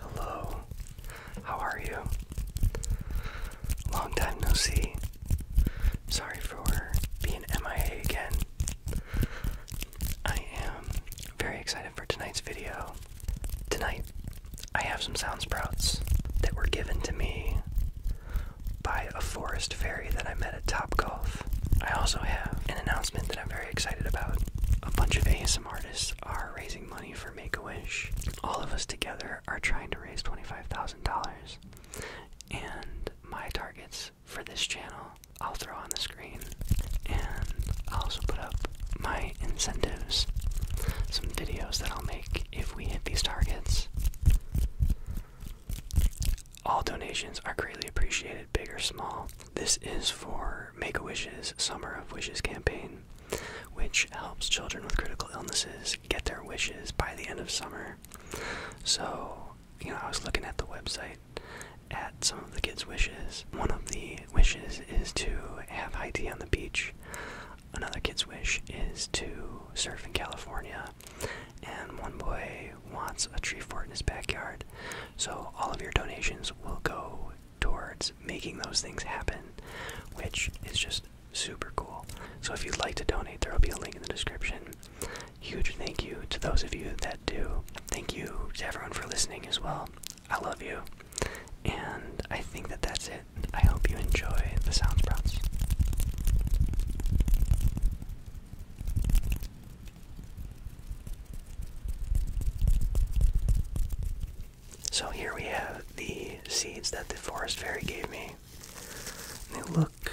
Hello, how are you? Long time no see. Sorry for being MIA again. I am very excited for tonight's video. Tonight, I have some sound sprouts that were given to me by a forest fairy that I met. At Top Golf, I also have an announcement that I'm very excited about. A bunch of ASM artists are raising money for Make a Wish. All of us together are trying to raise $25,000. And my targets for this channel I'll throw on the screen. And I'll also put up my incentives, some videos that I'll make if we hit these targets. All donations are greatly appreciated, big or small. This is for Make a Wishes Summer of Wishes campaign, which helps children with critical illnesses get their wishes by the end of summer. So, you know, I was looking at the website at some of the kids' wishes. One of the wishes is to have high on the beach. Another kid's wish is to surf in California. And one boy wants a tree fort in his backyard. So all of your donations will go towards making those things happen, which is just super cool. So if you'd like to donate, there will be a link in the description. Huge thank you to those of you that do. Thank you to everyone for listening as well. I love you. And I think that that's it. I hope you enjoy the sound sprouts. So here we have the seeds that the forest fairy gave me. They look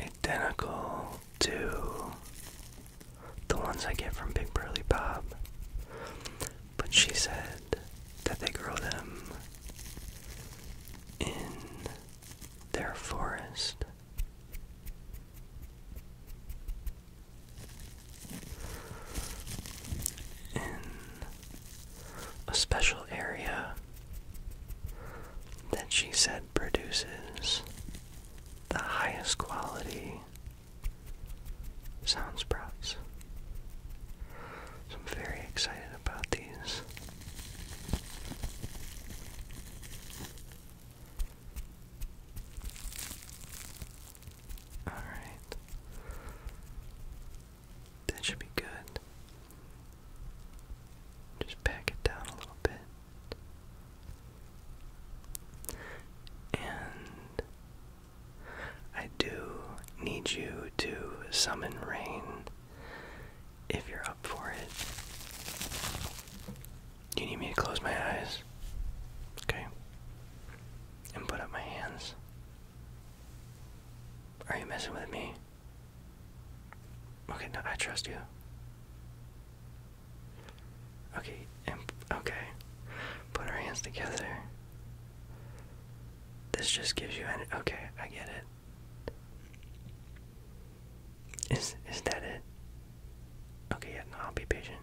identical to the ones I get from Big Burly Bob. But she said that they grow them in their forest in a special area that she said produces the highest quality sound sprouts. So I'm very excited about these. Alright. That should be good. Just pack it down a little bit. And I do need you to summon rain if you're up for it. Do you need me to close my eyes? Okay. And put up my hands. Are you messing with me? Okay, no, I trust you. Okay, and okay. Put our hands together. This just gives you an okay, I get it. Is is that it? Okay, yeah, I'll be patient.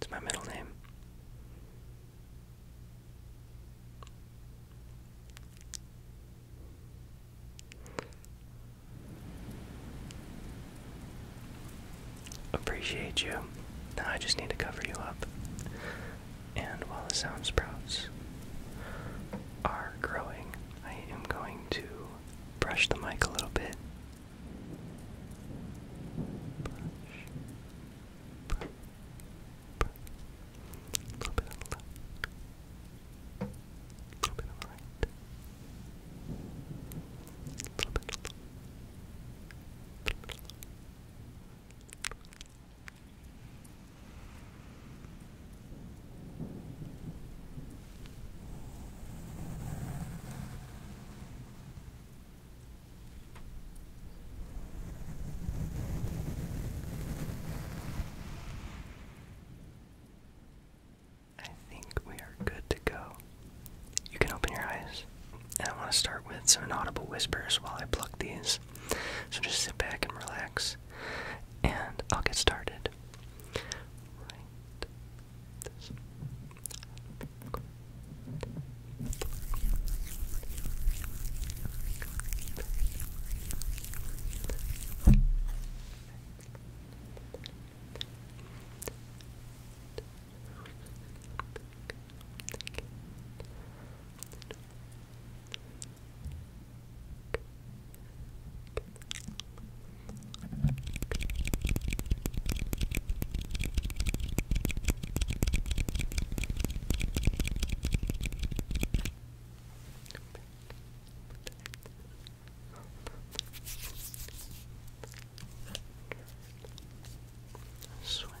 It's my middle name. Appreciate you. Now I just need to cover you up. And while the sound sprouts are growing, I am going to brush the mic a little bit. A little bit on the left, a little bit on the right, a little bit on the left. I think we are good to go. You can open your eyes. And I want to start with some inaudible whispers while I pluck these. So just sit back and relax and I'll get started. Right. Sweat.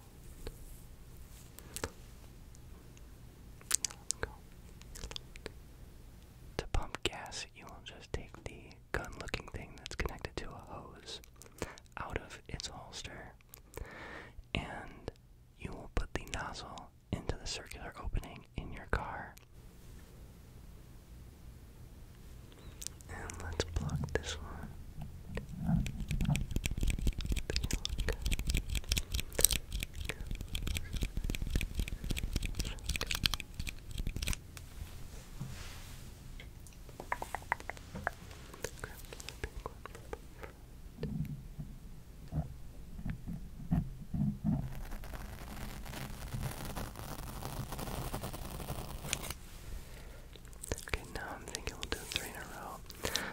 To pump gas, you will just take the gun looking thing that's connected to a hose out of its holster and you will put the nozzle into the circular opening in your car. And let's plug this one Okay, now I'm thinking we'll do three in a row.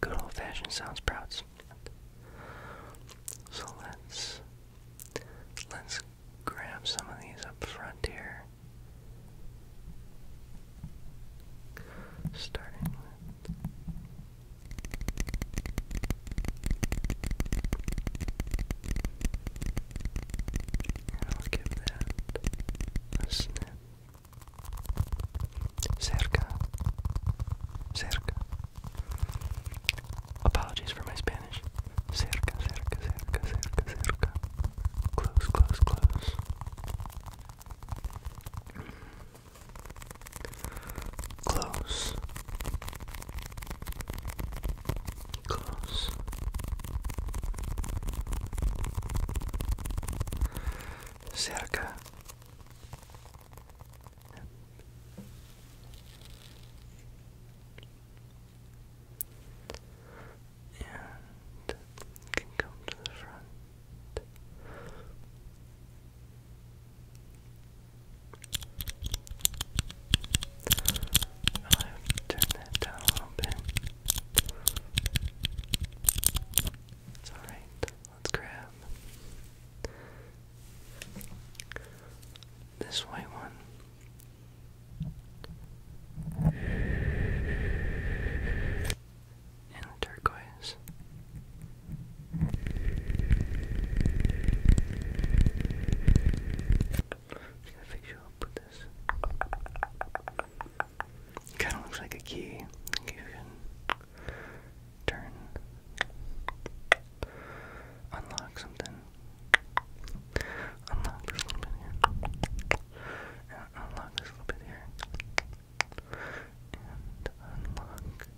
good old fashioned sound sprouts. So let's let's grab some of these up front here. Starting with and that a Cerca. Cerca. Apologies for my Spanish. Cerca, cerca, cerca, cerca, cerca. Close, close, close. Close. Close. Cerca. And you can come to the front. i have to turn that down a little Let's grab this white one and turquoise. gotta fix you up with this. Kind of looks like a key turn. Unlock something. Unlock this little bit here. unlock this little bit here. And unlock.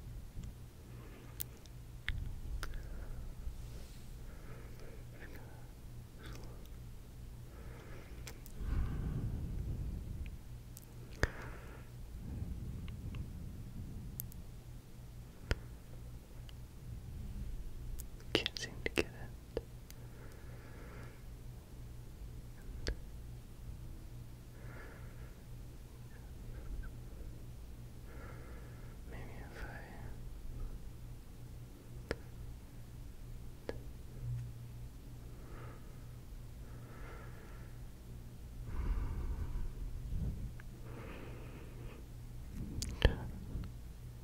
Can't seem to get it. Maybe if I.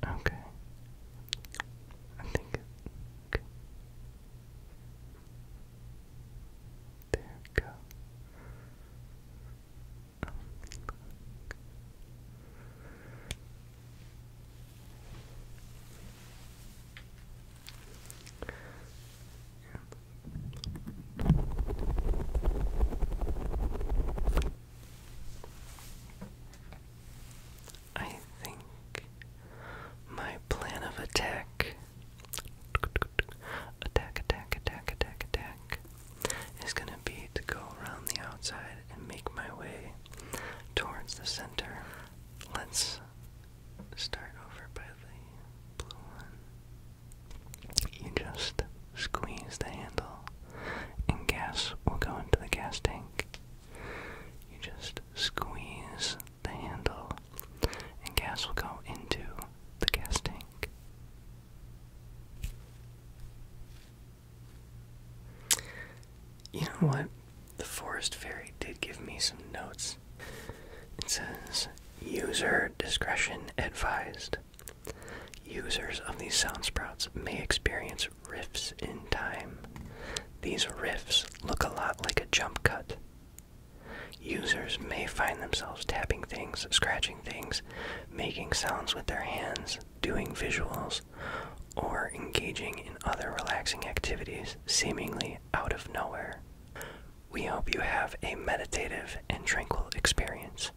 Okay. I think There we go. Um, I think my plan of attack attack attack attack attack attack is going to be to go around the outside and make my way towards the center. Let's start over by the blue one. You just squeeze the handle and gas will go into the gas tank. You just squeeze the handle and gas will go into the gas tank. You know what? The forest fairy did give me some notes it says, user discretion advised. Users of these sound sprouts may experience riffs in time. These riffs look a lot like a jump cut. Users may find themselves tapping things, scratching things, making sounds with their hands, doing visuals, or engaging in other relaxing activities seemingly out of nowhere. We hope you have a meditative and tranquil experience.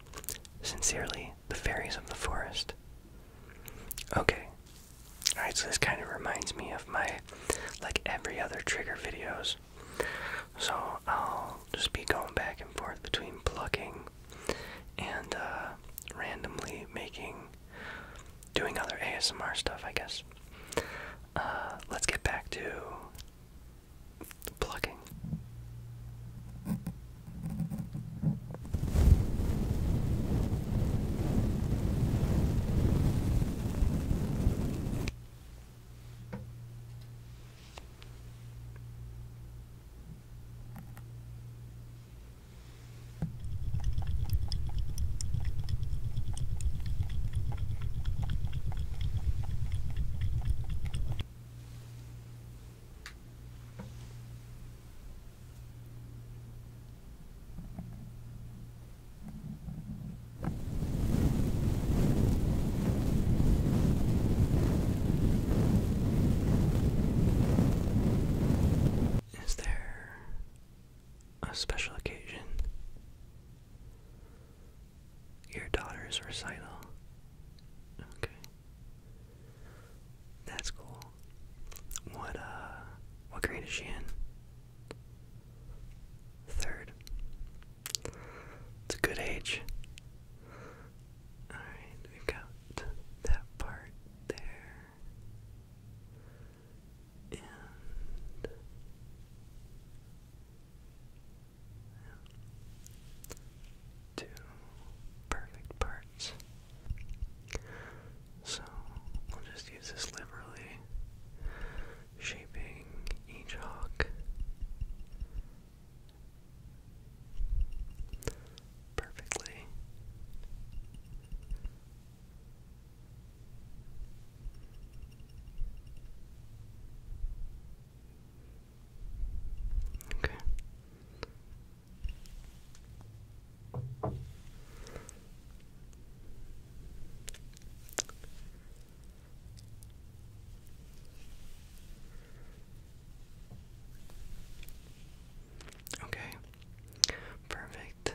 Sincerely, the fairies of the forest. Okay. Alright, so this kind of reminds me of my, like, every other trigger videos. So I'll just be going back and forth between plucking and uh, randomly making, doing other ASMR stuff, I guess. Uh, let's get back to plugging. Is there a special occasion, your daughter's recital. Okay. That's cool. What uh what grade is she in? Third. It's a good age. Alright, we got that part there. And two perfect parts. So we'll just use this liberally, shaping each hawk. Perfectly. Okay. Okay. Perfect.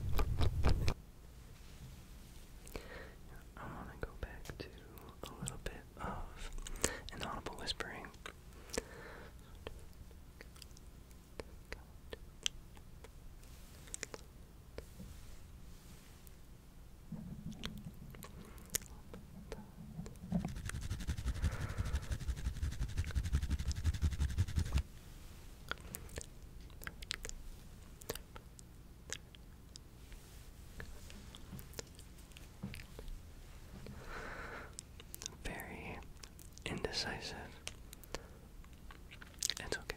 I want to go back to a little bit of inaudible whispering. Very indecisive. It's okay.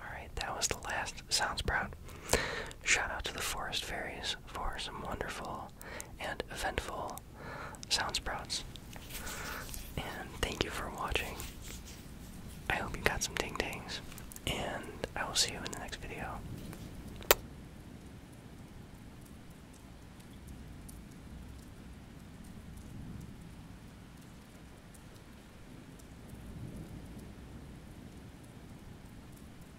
Alright, that was the last Sounds Proud. Shout out to the Forest Fairies for some wonderful and eventful sound sprouts. And thank you for watching. I hope you got some ting tings, and I will see you in the next video.